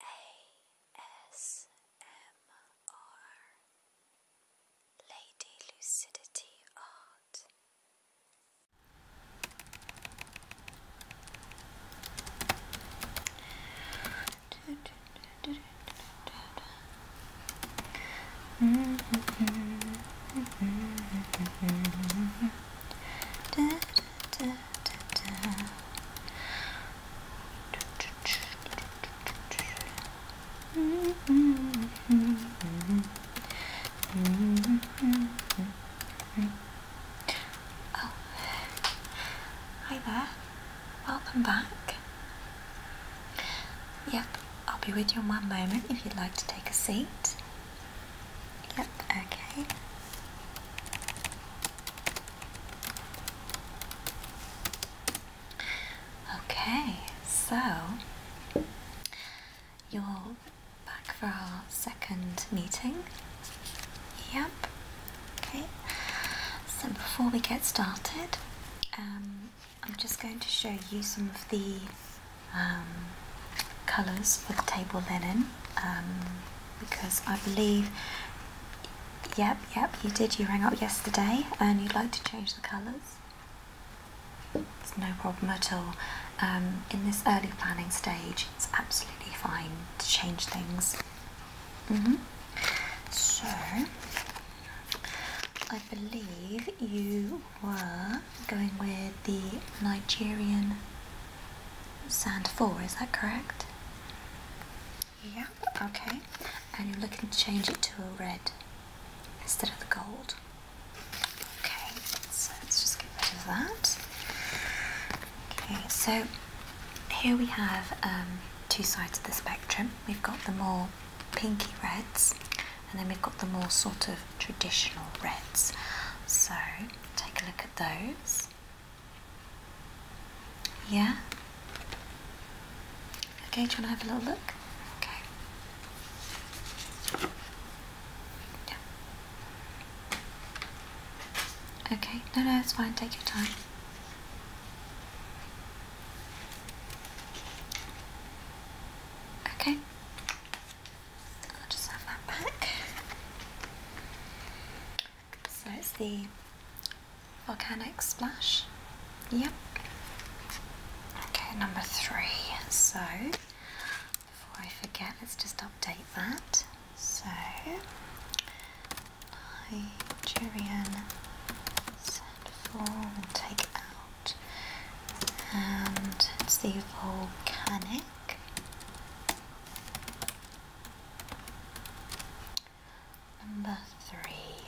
ASMR Lady Lucidity Art. Oh, hi there. Welcome back. Yep, I'll be with you in one moment if you'd like to take a seat. Yep, okay. Okay, so you're back for our second meeting. Yep. Okay. So before we get started, um, I'm just going to show you some of the um, colours for the table linen. Um, because I believe, yep, yep, you did. You rang up yesterday and you'd like to change the colours. It's no problem at all. Um, in this early planning stage, it's absolutely fine to change things. Mm -hmm. So, I believe you were going with the Nigerian Sand 4, is that correct? Yeah, okay. And you're looking to change it to a red instead of the gold. Okay, so let's just get rid of that. Okay, so here we have um, two sides of the spectrum. We've got the more pinky reds and then we've got the more sort of traditional reds. So take a look at those. Yeah? Okay, do you want to have a little look? Okay. Yeah. Okay, no, no, it's fine, take your time. Okay. I'll just have that back. So it's the volcanic splash. Yep. Okay, number three. So before I forget, let's just update that. So Nigerian sandform and take and it's the volcanic Number three.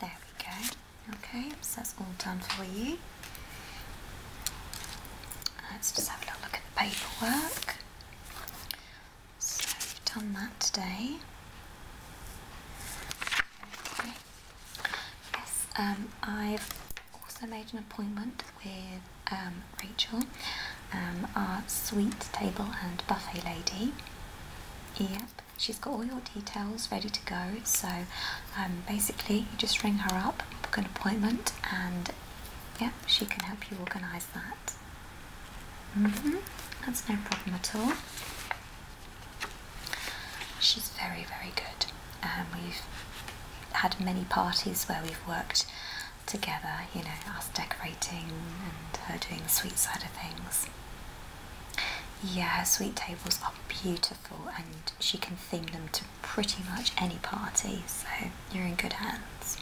There we go. Okay, so that's all done for you. Let's just have a little look at the paperwork. So we've done that today. Yes, um, i also made an appointment with um, Rachel, um, our sweet table and buffet lady. Yep, she's got all your details ready to go. So um, basically, you just ring her up, book an appointment, and yep, she can help you organise that. Mm-hmm. That's no problem at all. She's very, very good. Um, we've had many parties where we've worked together, you know, us decorating and her doing the sweet side of things. Yeah, her sweet tables are beautiful and she can theme them to pretty much any party, so you're in good hands.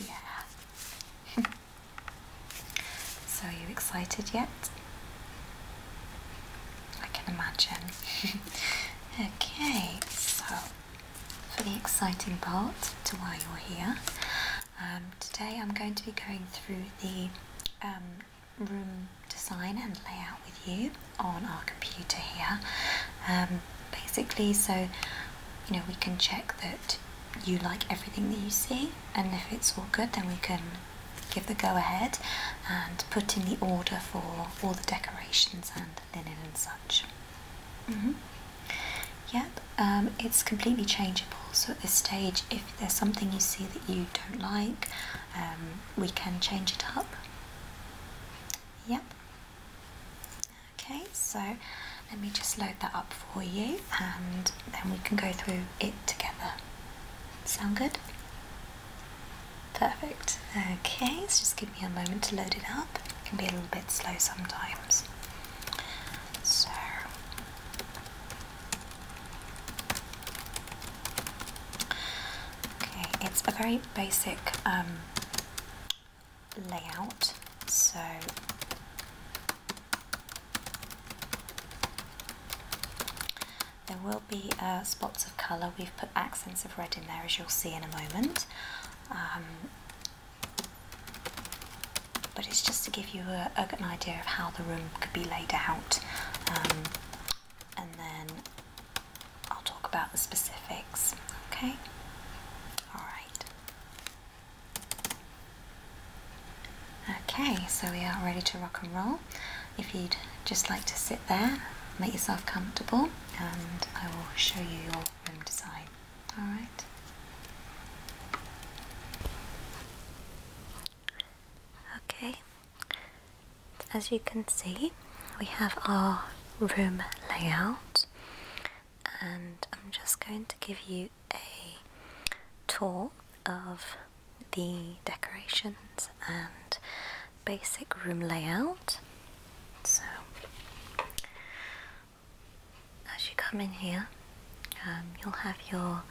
Yeah. so are you excited yet? I can imagine. okay, so for the exciting part to why you're here, um, today I'm going to be going through the um, room design and layout with you on our computer here. Um, basically, so you know, we can check that you like everything that you see, and if it's all good, then we can give the go ahead and put in the order for all the decorations and linen and such. Mm-hmm. Yep, um, it's completely changeable. So at this stage, if there's something you see that you don't like, um, we can change it up. Yep. Okay, so let me just load that up for you and then we can go through it together. Sound good? Perfect. Okay, so just give me a moment to load it up. It can be a little bit slow sometimes. So okay, it's a very basic um, layout. So there will be uh, spots of colour. We've put accents of red in there, as you'll see in a moment. Um, but it's just to give you a, a, an idea of how the room could be laid out. Um, and then I'll talk about the specifics. Okay? Alright. Okay, so we are ready to rock and roll. If you'd just like to sit there, make yourself comfortable, and I will show you your room design. Alright? Okay, as you can see, we have our room layout, and I'm just going to give you a tour of the decorations and basic room layout. So, as you come in here, um, you'll have your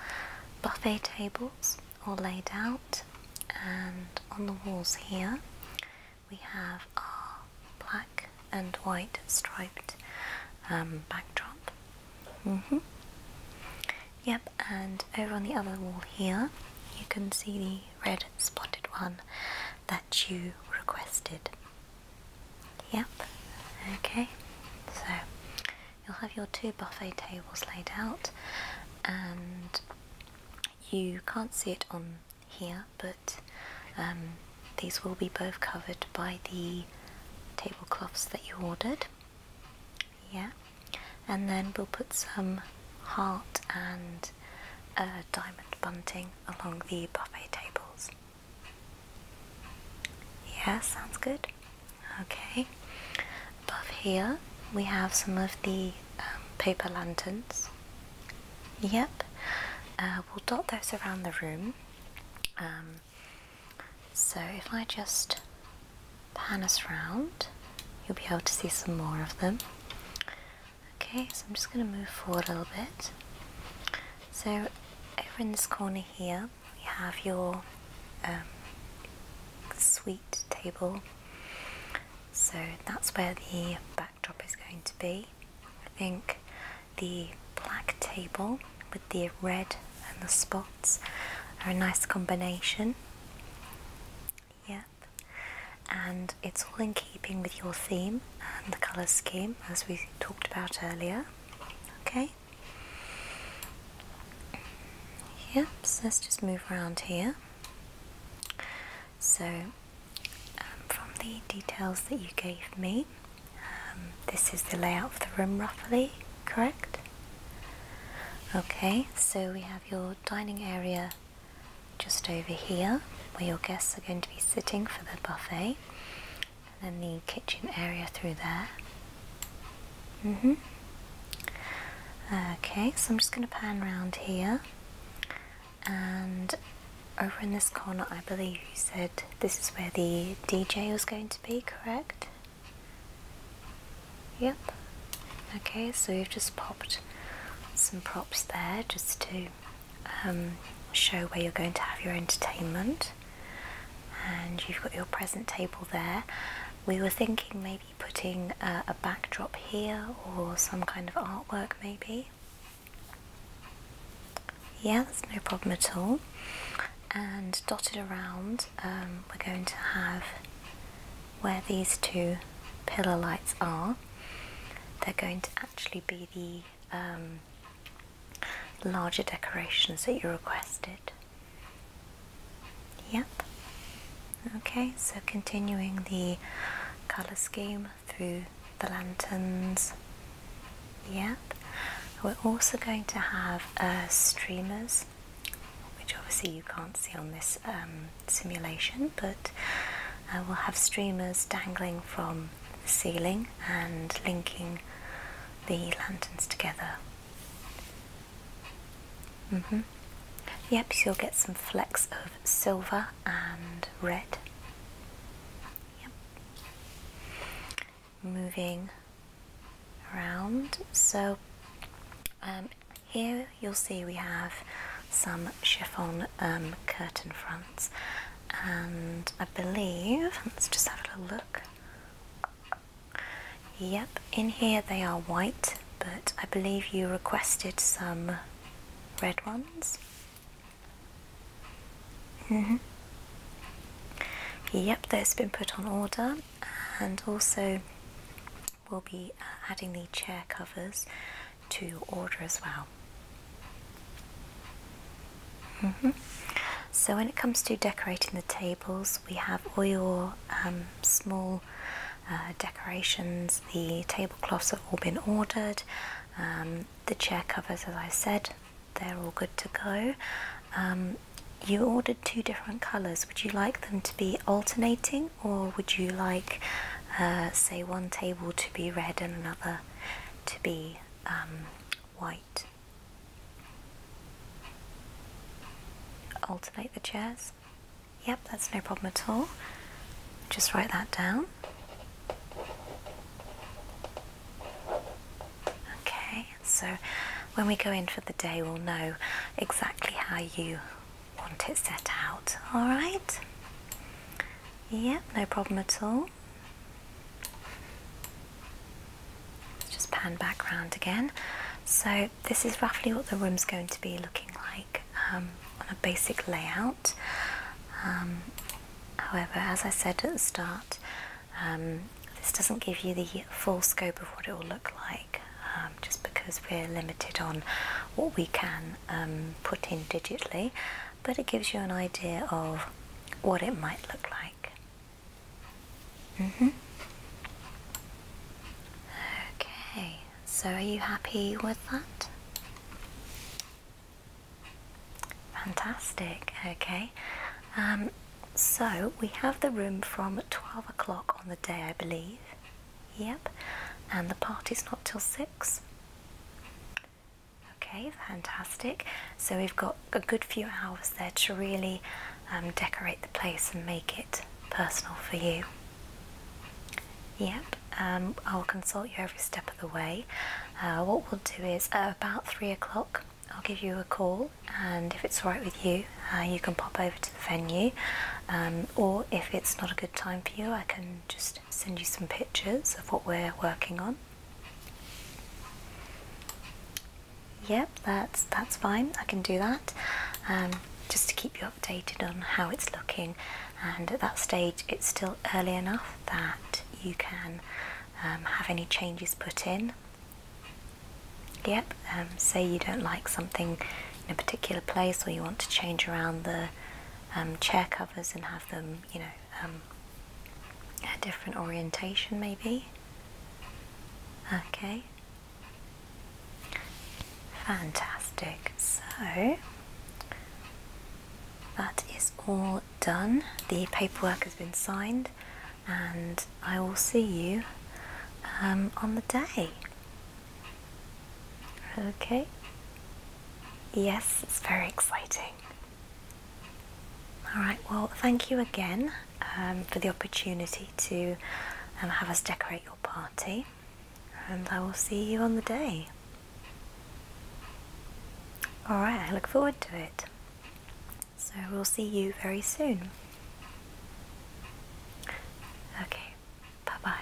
buffet tables all laid out, and on the walls here we have our black and white striped um, backdrop. Mm -hmm. Yep, and over on the other wall here, you can see the red spotted one that you requested. Yep, okay, so you'll have your two buffet tables laid out, and you can't see it on here, but um, these will be both covered by the tablecloths that you ordered. Yeah, and then we'll put some heart and diamond bunting along the buffet tables. Yeah, sounds good. Okay, above here we have some of the um, paper lanterns. Yep, uh, we'll dot those around the room. Um, so if I just pan us round, you'll be able to see some more of them. Okay, so I'm just going to move forward a little bit. So over in this corner here, we have your um, sweet table. So that's where the backdrop is going to be. I think the black table with the red and the spots are a nice combination. Yep, and it's all in keeping with your theme and the colour scheme as we talked about earlier. Okay, yep, so let's just move around here. So, um, from the details that you gave me, um, this is the layout of the room roughly, correct? Okay, so we have your dining area just over here where your guests are going to be sitting for the buffet and then the kitchen area through there. Mm-hmm. Okay, so I'm just going to pan round here and over in this corner I believe you said this is where the DJ was going to be, correct? Yep. Okay, so you've just popped some props there just to um, show where you're going to have your entertainment. And you've got your present table there. We were thinking maybe putting a backdrop here or some kind of artwork maybe. Yeah, that's no problem at all. And dotted around, um, we're going to have where these two pillar lights are. They're going to actually be the um, larger decorations that you requested. Yep. Okay, so continuing the colour scheme through the lanterns Yep, we're also going to have uh, streamers which obviously you can't see on this um, simulation but uh, we'll have streamers dangling from the ceiling and linking the lanterns together mm -hmm. yep you'll get some flecks of silver and red yep moving around. So um, here you'll see we have some chiffon um, curtain fronts and I believe, let's just have a little look. Yep, in here they are white, but I believe you requested some red ones. Mm -hmm. Yep, that's been put on order, and also we'll be uh, adding the chair covers to order as well. Mm -hmm. So, when it comes to decorating the tables, we have all your um, small uh, decorations, the tablecloths have all been ordered, um, the chair covers, as I said, they're all good to go. Um, you ordered two different colours. Would you like them to be alternating, or would you like, uh, say, one table to be red and another to be um, white? Alternate the chairs? Yep, that's no problem at all. Just write that down. Okay, so when we go in for the day, we'll know exactly how you want it set out. All right? Yep, no problem at all. Just pan back round again. So, this is roughly what the room's going to be looking like um, on a basic layout. Um, however, as I said at the start, um, this doesn't give you the full scope of what it will look like um, just because we're limited on what we can um, put in digitally, but it gives you an idea of what it might look like. Mm-hmm. Okay, so are you happy with that? Fantastic, okay. Um, so we have the room from 12 o'clock on the day, I believe. Yep, and the party's not till 6. Okay, fantastic. So we've got a good few hours there to really um, decorate the place and make it personal for you. Yep, um, I'll consult you every step the way, uh, what we'll do is uh, about three o'clock I'll give you a call, and if it's alright with you, uh, you can pop over to the venue. Um, or if it's not a good time for you, I can just send you some pictures of what we're working on. Yep, that's that's fine. I can do that. Um, just to keep you updated on how it's looking, and at that stage, it's still early enough that you can um, have any changes put in. Yep, um, say you don't like something in a particular place or you want to change around the um, chair covers and have them, you know, a different orientation maybe. Okay. Fantastic. So that is all done. The paperwork has been signed, and I will see you um, on the day. Okay. Yes, it's very exciting. Alright, well, thank you again um, for the opportunity to um, have us decorate your party, and I will see you on the day. Alright, I look forward to it. So we'll see you very soon. Okay, bye bye.